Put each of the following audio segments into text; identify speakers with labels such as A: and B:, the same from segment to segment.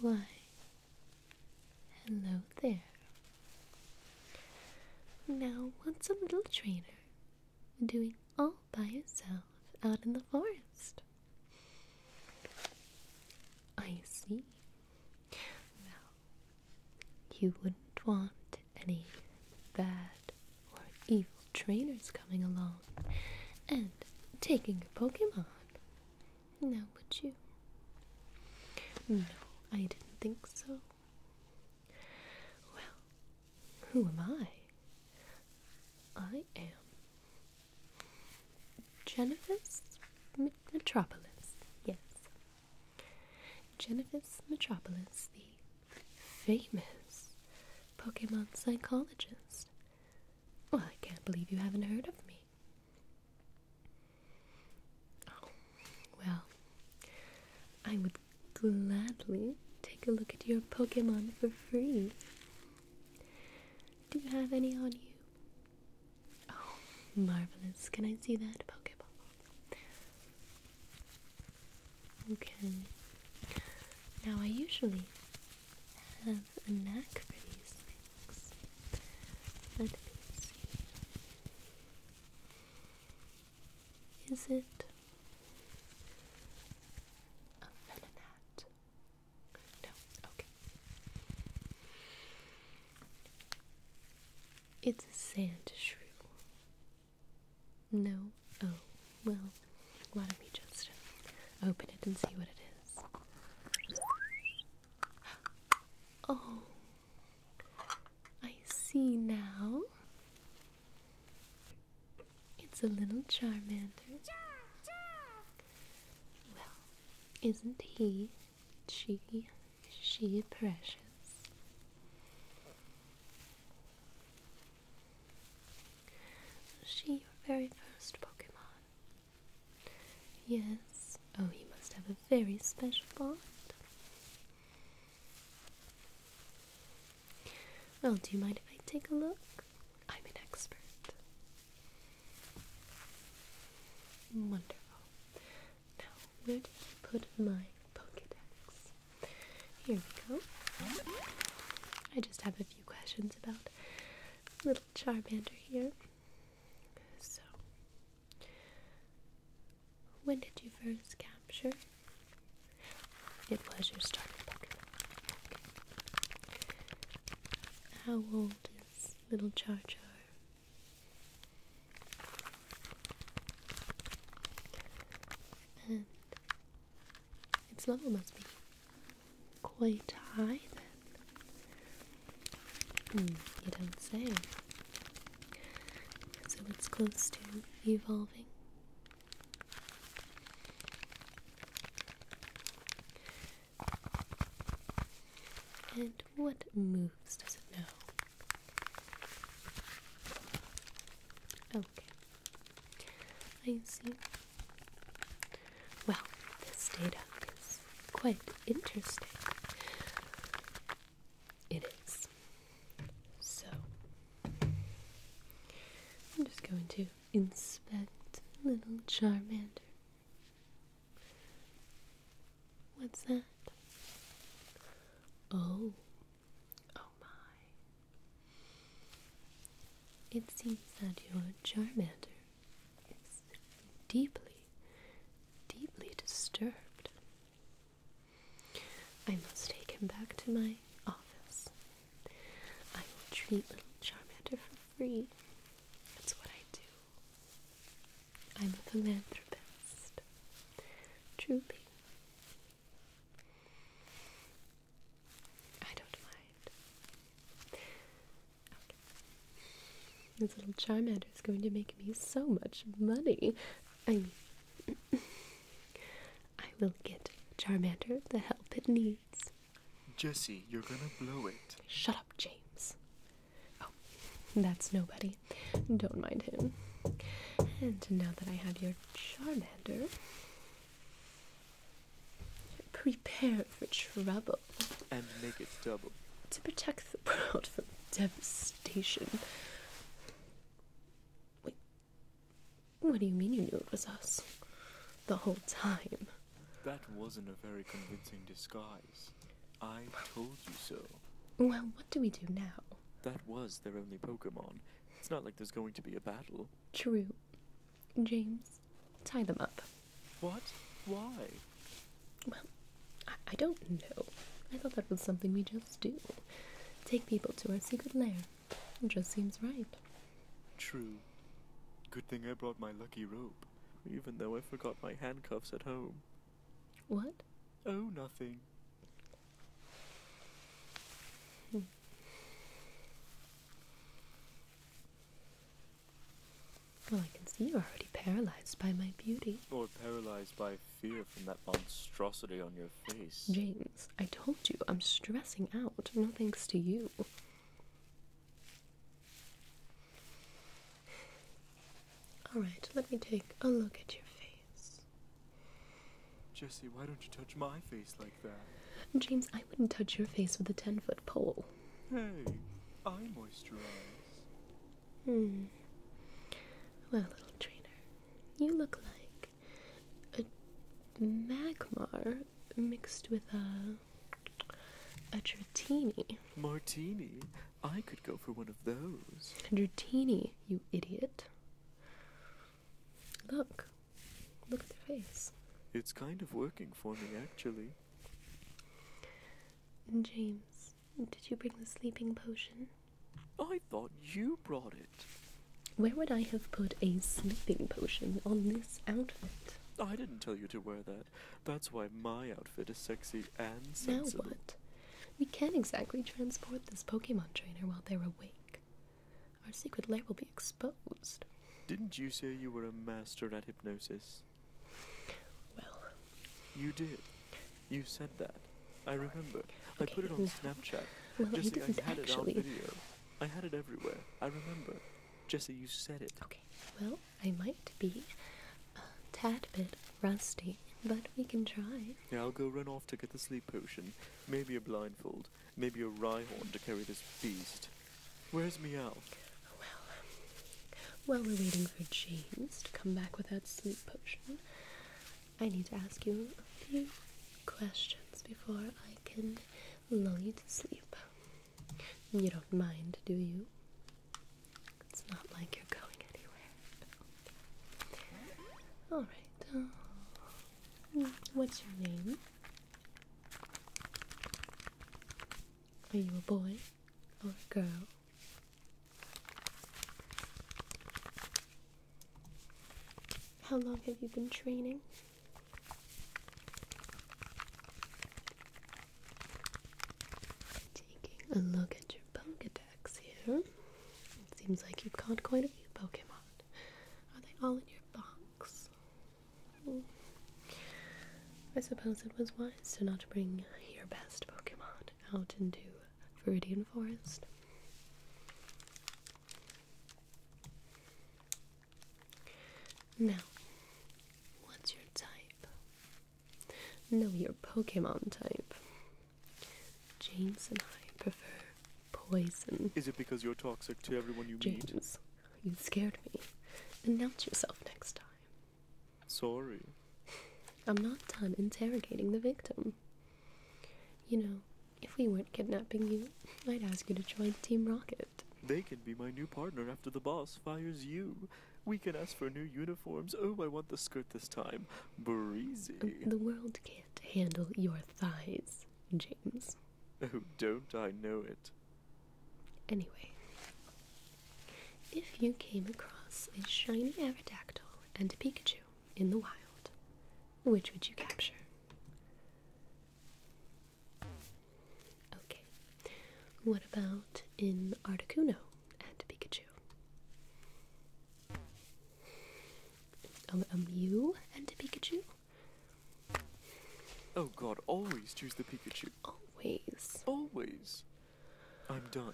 A: Why, hello there. Now, what's a little trainer doing all by himself out in the forest? I see. Well, you wouldn't want any bad or evil trainers coming along and taking your Pokemon. Now, would you? No, I didn't think so. Well, who am I? I am Genevieve Metropolis, yes. Genevieve Metropolis, the famous Pokemon psychologist. Well, I can't believe you haven't heard of me. Oh, well, I would gladly take a look at your Pokemon for free. Do you have any on you? Oh, marvelous. Can I see that Pokeball? Okay. Now I usually have a knack for these things. Let me see. Is it a melanat? No, okay. It's a sand shrew. No, Oh, well, why don't we just open it and see what it is? Oh, I see now. It's a little Charmander. Well, isn't he, she, she precious? Was she your very first Pokemon? Yes. Oh, you must have a very special bond. Well, do you mind if I take a look? I'm an expert. Wonderful. Now, where did you put my Pokedex? Here we go. I just have a few questions about little Charmander here. So, when did you first capture? It was your starter Pokemon. How old is little Char Char? Its level must be quite high then. Hmm, you don't say. So it's close to evolving. And what moves does it know? Oh, I see. Well, this data is quite interesting. It is. So, I'm just going to inspect little Charmander. What's that? Oh, Oh my. It seems that your Charmander is deeply, deeply disturbed. I must take him back to my office. I will treat little Charmander for free. That's what I do. I'm a philanthropist. Truly. I don't mind. This little Charmander is going to make me so much money. I I will get Charmander the help it needs.
B: Jesse, you're gonna blow it.
A: Shut up, James. Oh, that's nobody. Don't mind him. And now that I have your Charmander, Prepare for trouble.
B: And make it double.
A: To protect the world from devastation. Wait. What do you mean you knew it was us? The whole time.
B: That wasn't a very convincing disguise. I told you so.
A: Well, what do we do now?
B: That was their only Pokemon. It's not like there's going to be a battle
A: true, James, tie them up.
B: What? Why?
A: Well, I, I don't know. I thought that was something we just do. Take people to our secret lair. It just seems right.
B: True. Good thing I brought my lucky rope, even though I forgot my handcuffs at home. What? Oh, nothing. Hmm.
A: Well, I can see you're already paralyzed by my beauty.
B: Or paralyzed by fear from that monstrosity on your face. James,
A: I told you I'm stressing out, no thanks to you. Alright, let me take a look at your face.
B: Jessie, why don't you touch my face like that?
A: James, I wouldn't touch your face with a 10 foot pole.
B: Hey, I moisturize.
A: Hmm. Well, little trainer, you look like a magmar mixed with a. a Dratini.
B: Martini? I could go for one of those.
A: Dratini, you idiot. Look. Look at their face.
B: It's kind of working for me, actually.
A: James, did you bring the sleeping potion?
B: I thought you brought it.
A: Where would I have put a sleeping potion on this outfit?
B: I didn't tell you to wear that. That's why my outfit is sexy and sensible. Now
A: what? We can't exactly transport this Pokemon trainer while they're awake. Our secret lair will be exposed.
B: Didn't you say you were a master at hypnosis? Well, you did. You said that. I remember. I put it on Snapchat. Well, Jesse, I, didn't had actually. it I had it everywhere. I remember. Jesse, you said it. Okay.
A: Well, I might be a tad bit rusty, but we can try.
B: Yeah, I'll go run off to get the sleep potion. Maybe a blindfold. Maybe a Rhyhorn to carry this beast. Where's Meow? Well,
A: um, while we're waiting for James to come back with that sleep potion, I need to ask you a few questions before I can lull you to sleep. You don't mind, do you? It's not like you're going anywhere. Alright. Um, What's your name? Are you a boy or a girl? How long have you been training? Taking a look at your Pokedex here. It seems like you've caught quite a few Pokemon. Are they all in your box? Hmm. I suppose it was wise to not bring your best Pokemon out into Viridian Forest. Now, what's your type? Know your Pokemon type. James and I prefer poison.
B: Is it because you're toxic to everyone you meet? James,
A: you scared me. Announce yourself next time. Sorry. I'm not done interrogating the victim. You know, if we weren't kidnapping you, I'd ask you to join Team Rocket.
B: They can be my new partner after the boss fires you. We can ask for new uniforms. Oh, I want the skirt this time. Breezy. the
A: world can't can handle your thighs, James.
B: Oh, don't I know it?
A: Anyway, if you came across a shiny Aerodactyl and a Pikachu in the wild, which would you capture? Okay, what about in Articuno and Pikachu? a Mew and a Pikachu?
B: Oh god, always choose the Pikachu.
A: Always.
B: Always. I'm done.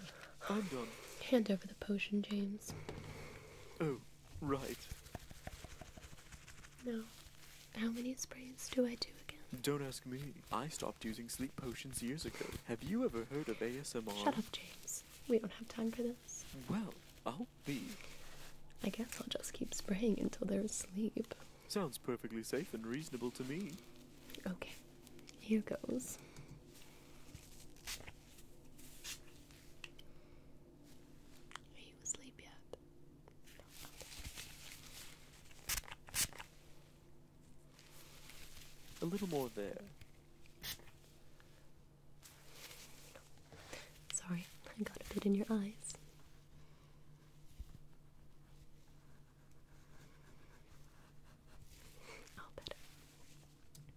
B: I'm done.
A: Hand over the potion, James.
B: Oh, right.
A: No. How many sprays do I do
B: again? Don't ask me. I stopped using sleep potions years ago. Have you ever heard of ASMR? Shut up,
A: James. We don't have time for this.
B: Well, I'll
A: I guess I'll just keep spraying until they're asleep.
B: Sounds perfectly safe and reasonable to me.
A: Okay, here goes. Are you asleep
B: yet? A little more there.
A: Sorry, I got a bit in your eyes.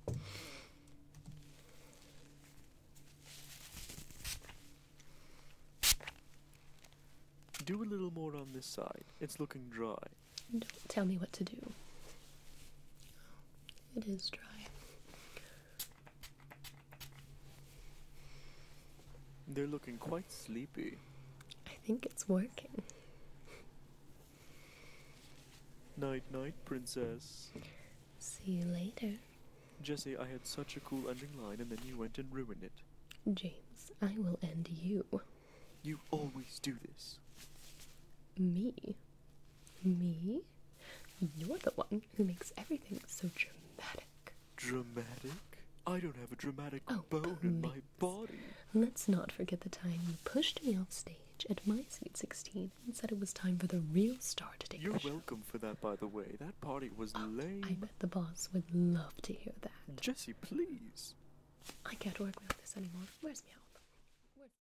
B: All Do a little more on this side. It's looking dry.
A: Don't tell me what to do. It is dry.
B: They're looking quite sleepy.
A: I think it's working.
B: Night, night, princess.
A: See you later.
B: Jesse, I had such a cool ending line and then you went and ruined
A: it. James, I will end you.
B: You always do this.
A: Me? Me? You're the one who makes everything so dramatic.
B: Dramatic? I don't have a dramatic oh, bone in my body.
A: Let's not forget the time you pushed me off stage at my sweet 16 and said it was time for the real star to
B: take You're welcome for that, by the way. That party was oh, lame. I bet
A: the boss would love to hear that. Jesse, please. I can't work without this anymore. Where's Meow?